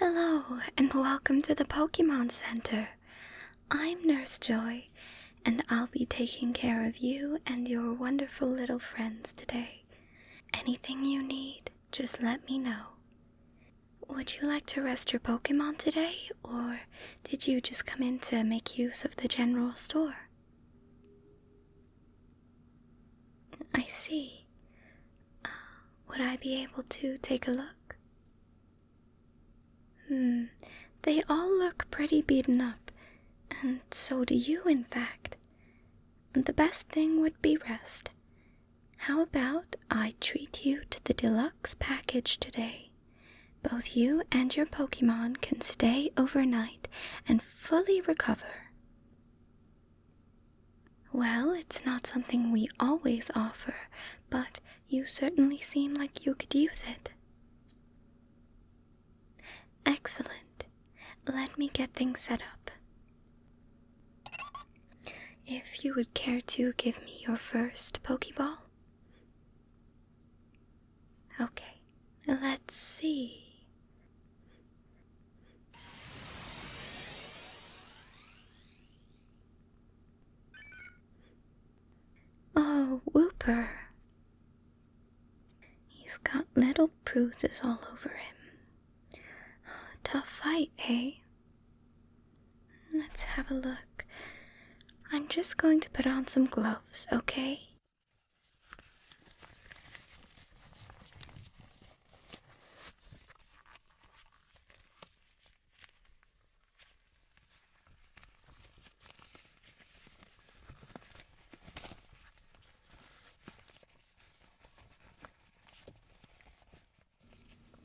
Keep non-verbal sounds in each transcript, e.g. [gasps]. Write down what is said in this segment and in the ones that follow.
Hello, and welcome to the Pokemon Center. I'm Nurse Joy, and I'll be taking care of you and your wonderful little friends today. Anything you need, just let me know. Would you like to rest your Pokemon today, or did you just come in to make use of the general store? I see. Uh, would I be able to take a look? Hmm, they all look pretty beaten up, and so do you, in fact. The best thing would be rest. How about I treat you to the deluxe package today? Both you and your Pokemon can stay overnight and fully recover. Well, it's not something we always offer, but you certainly seem like you could use it. Excellent. Let me get things set up. If you would care to give me your first Pokeball. Okay, let's see. Oh, Whooper. He's got little bruises all over him. Tough fight, eh? Let's have a look. I'm just going to put on some gloves, okay?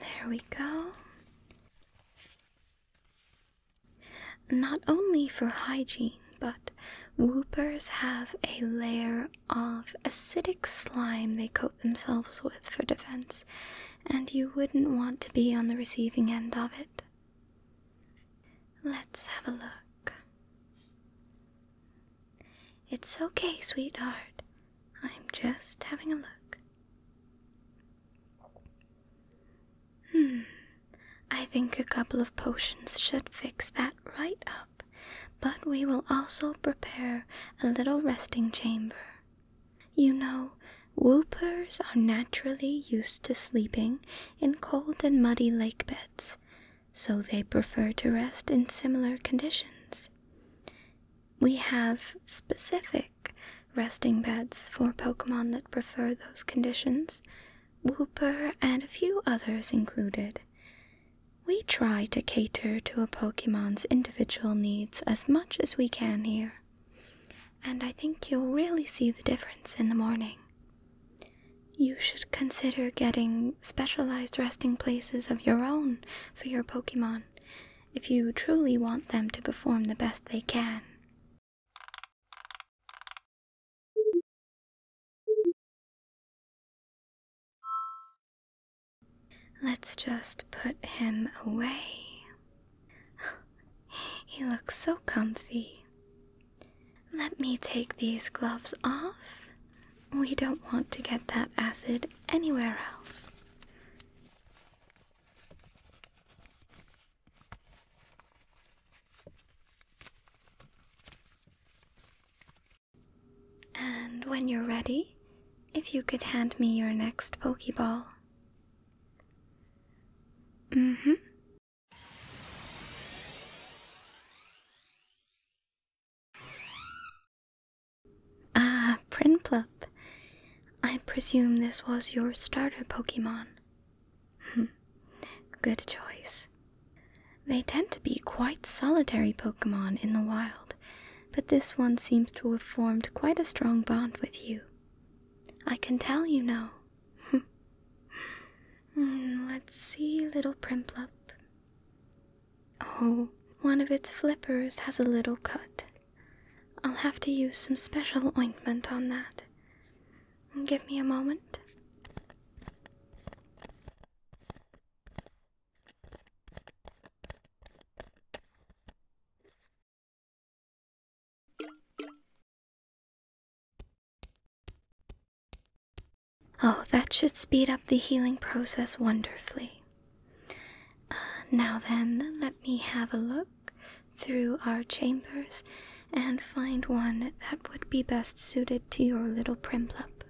There we go. Not only for hygiene, but whoopers have a layer of acidic slime they coat themselves with for defense, and you wouldn't want to be on the receiving end of it. Let's have a look. It's okay, sweetheart. I'm just having a look. Hmm, I think a couple of potions should fix that right up, but we will also prepare a little resting chamber. You know, whoopers are naturally used to sleeping in cold and muddy lake beds, so they prefer to rest in similar conditions. We have specific resting beds for Pokemon that prefer those conditions, whooper and a few others included. We try to cater to a Pokemon's individual needs as much as we can here, and I think you'll really see the difference in the morning. You should consider getting specialized resting places of your own for your Pokemon if you truly want them to perform the best they can. Let's just put him away. [gasps] He looks so comfy. Let me take these gloves off. We don't want to get that acid anywhere else. And when you're ready, if you could hand me your next Pokeball. Mm hmm. Ah, Prinplup. I presume this was your starter Pokemon. Hmm. Good choice. They tend to be quite solitary Pokemon in the wild, but this one seems to have formed quite a strong bond with you. I can tell you know. [laughs] Hmm, let's see, little Primplop. Oh, one of its flippers has a little cut. I'll have to use some special ointment on that. Give me a moment. Oh, that should speed up the healing process wonderfully. Uh, now then, let me have a look through our chambers and find one that would be best suited to your little Primplop.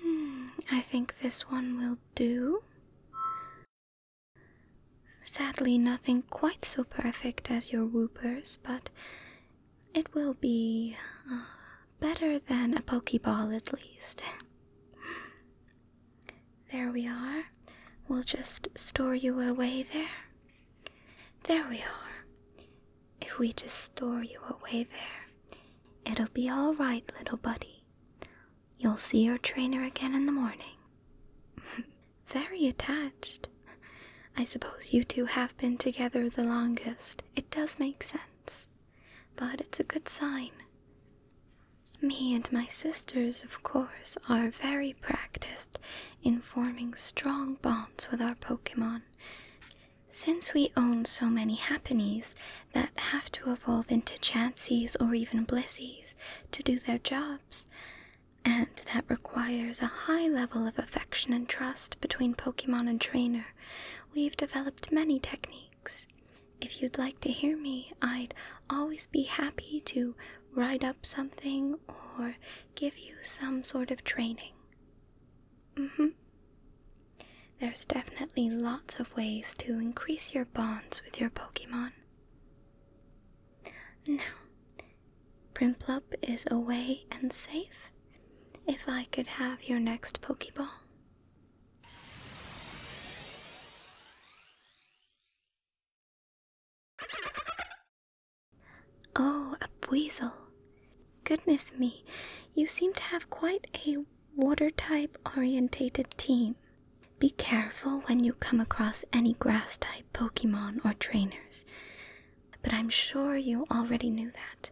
Hmm, I think this one will do. Sadly, nothing quite so perfect as your whoopers, but it will be uh, better than a Pokeball at least. There we are. We'll just store you away there. There we are. If we just store you away there, it'll be all right, little buddy. You'll see your trainer again in the morning. [laughs] Very attached. I suppose you two have been together the longest. It does make sense. But it's a good sign. Me and my sisters, of course, are very practiced in forming strong bonds with our Pokemon. Since we own so many Happinies that have to evolve into Chanseys or even Blizzies to do their jobs, and that requires a high level of affection and trust between Pokemon and trainer, we've developed many techniques. If you'd like to hear me, I'd always be happy to write up something or give you some sort of training. Mm hmm. There's definitely lots of ways to increase your bonds with your Pokemon. Now, Primplup is away and safe. If I could have your next Pokeball. Oh, a weasel. Goodness me, you seem to have quite a water type orientated team. Be careful when you come across any grass type Pokemon or trainers, but I'm sure you already knew that.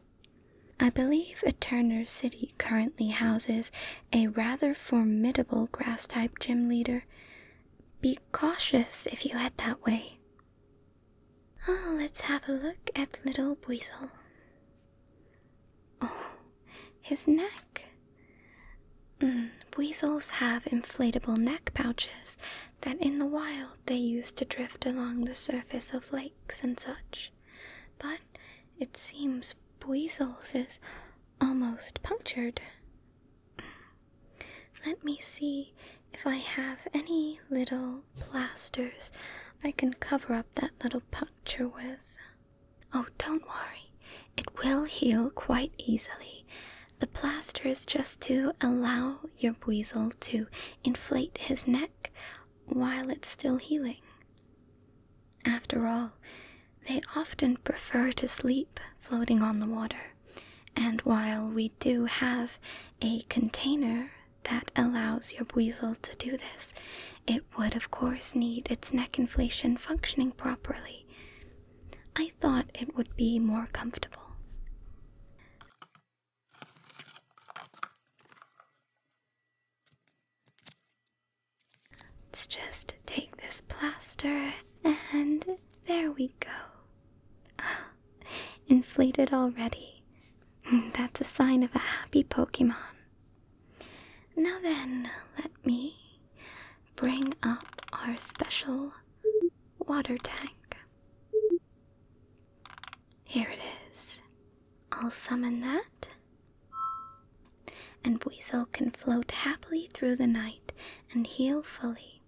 I believe Eterner City currently houses a rather formidable grass type gym leader, be cautious if you head that way. Oh, let's have a look at little weasel. Oh, his neck. Mm, weasels have inflatable neck pouches that in the wild they use to drift along the surface of lakes and such. But it seems Buizel's is almost punctured. Let me see if I have any little plasters I can cover up that little puncture with. Oh, don't worry, it will heal quite easily. The plaster is just to allow your weasel to inflate his neck while it's still healing. After all, they often prefer to sleep floating on the water, and while we do have a container that allows your weasel to do this, it would of course need its neck inflation functioning properly. I thought it would be more comfortable. Let's just take this plaster and there we go. [gasps] Inflated already. Hmm, that's a sign of a happy Pokemon. Now then, let me bring up our special water tank. Here it is. I'll summon that and Weasel can float happily through the night and heal fully.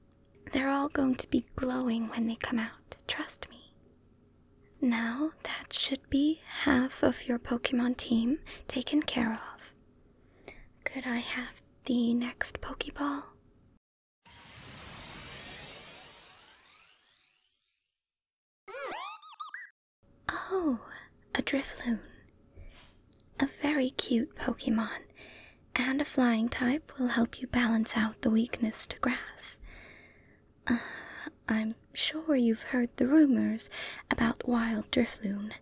They're all going to be glowing when they come out, trust me. Now, that should be half of your Pokemon team taken care of. Could I have the next Pokeball? Oh, a Drifloon, a very cute Pokemon, and a flying type will help you balance out the weakness to grass. Uh, I'm sure you've heard the rumors about Wild Drifloon,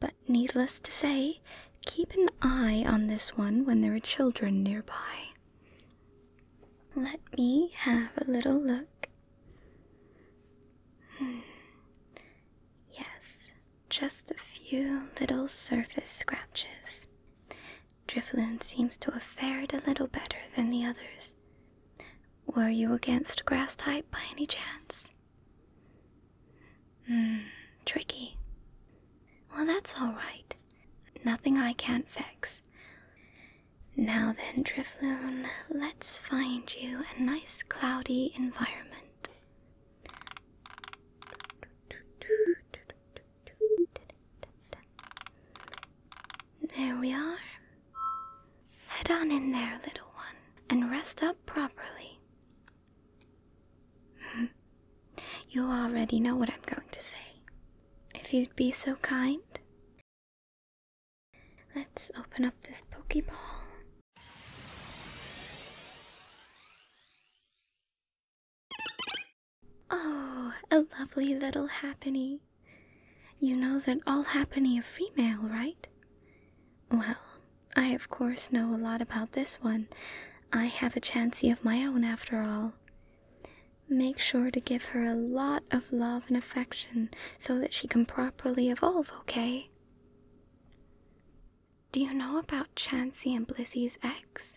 but needless to say, keep an eye on this one when there are children nearby. Let me have a little look. Hmm. Yes, just a few little surface scratches. Drifloon seems to have fared a little better than the others. Were you against grass type by any chance? Hmm, tricky. Well, that's all right. Nothing I can't fix. Now then, Drifloon, let's find you a nice cloudy environment. There we are. Head on in there, little one, and rest up properly. [laughs] you already know what I'm going to say. If you'd be so kind. Let's open up this Pokeball Oh, a lovely little happening! You know that all happenny are female, right? Well, I of course know a lot about this one. I have a chancy of my own after all. Make sure to give her a lot of love and affection so that she can properly evolve, okay? Do you know about Chansey and Blissey's eggs?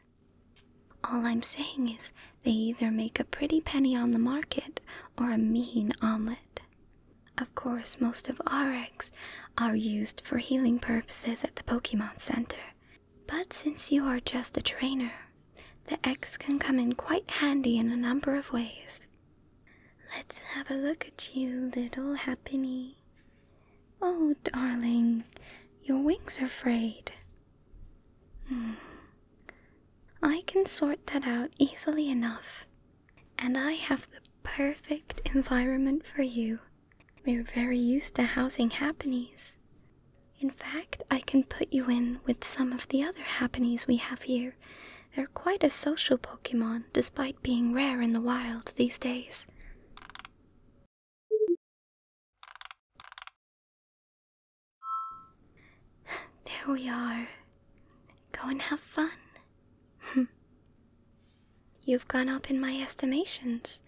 All I'm saying is they either make a pretty penny on the market or a mean omelet. Of course, most of our eggs are used for healing purposes at the Pokemon Center. But since you are just a trainer, the eggs can come in quite handy in a number of ways. Let's have a look at you, little happiny. Oh, darling, your wings are frayed. Hmm. I can sort that out easily enough. And I have the perfect environment for you. We're very used to housing happenies. In fact, I can put you in with some of the other happenies we have here they're quite a social Pokemon, despite being rare in the wild these days. [sighs] There we are. Go and have fun. [laughs] You've gone up in my estimations.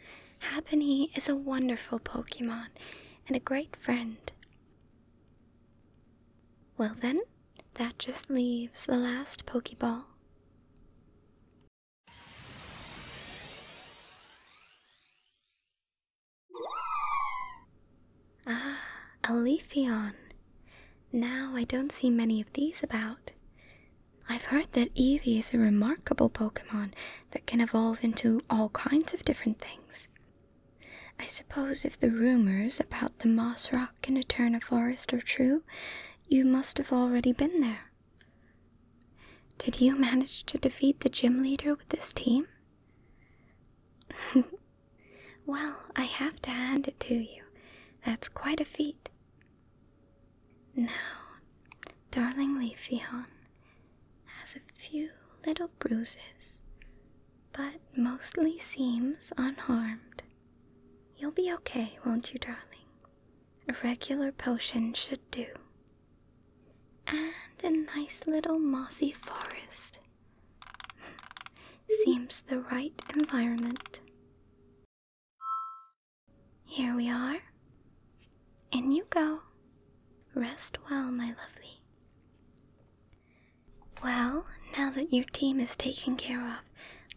Happenny is a wonderful Pokemon and a great friend. Well, then, that just leaves the last Pokeball. Ah, a Leafeon. Now I don't see many of these about. I've heard that Eevee is a remarkable Pokemon that can evolve into all kinds of different things. I suppose if the rumors about the Moss rock can a turn a forest or true, you must have already been there. Did you manage to defeat the gym leader with this team? [laughs] well, I have to hand it to you. That's quite a feat. Now, darling Leafeon has a few little bruises, but mostly seems unharmed. You'll be okay, won't you, darling? A regular potion should do. And a nice little mossy forest. [laughs] Seems the right environment. Here we are. In you go. Rest well, my lovely. Well, now that your team is taken care of,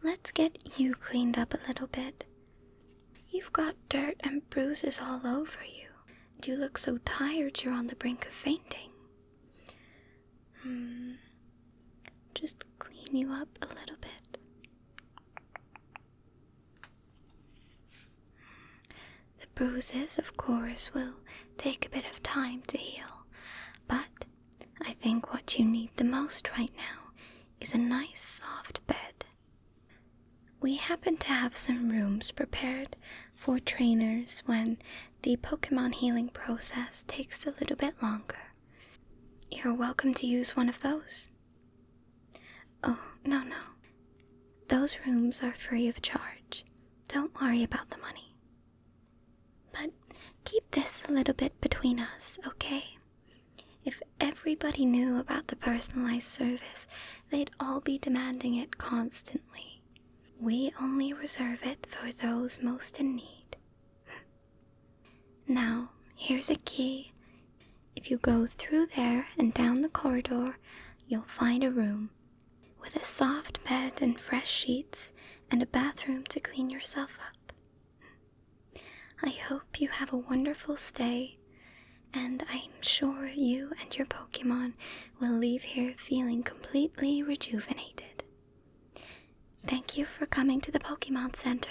let's get you cleaned up a little bit. You've got dirt and bruises all over you. And you look so tired you're on the brink of fainting. Hmm. Just clean you up a little bit. The bruises, of course, will take a bit of time to heal, but I think what you need the most right now is a nice soft bed. We happen to have some rooms prepared for trainers when the Pokemon healing process takes a little bit longer. You're welcome to use one of those. Oh, no, no. Those rooms are free of charge. Don't worry about the money. But keep this a little bit between us, okay? If everybody knew about the personalized service, they'd all be demanding it constantly. We only reserve it for those most in need. [laughs] now, here's a key. If you go through there and down the corridor, you'll find a room with a soft bed and fresh sheets and a bathroom to clean yourself up. I hope you have a wonderful stay, and I'm sure you and your Pokemon will leave here feeling completely rejuvenated. Thank you for coming to the Pokemon Center.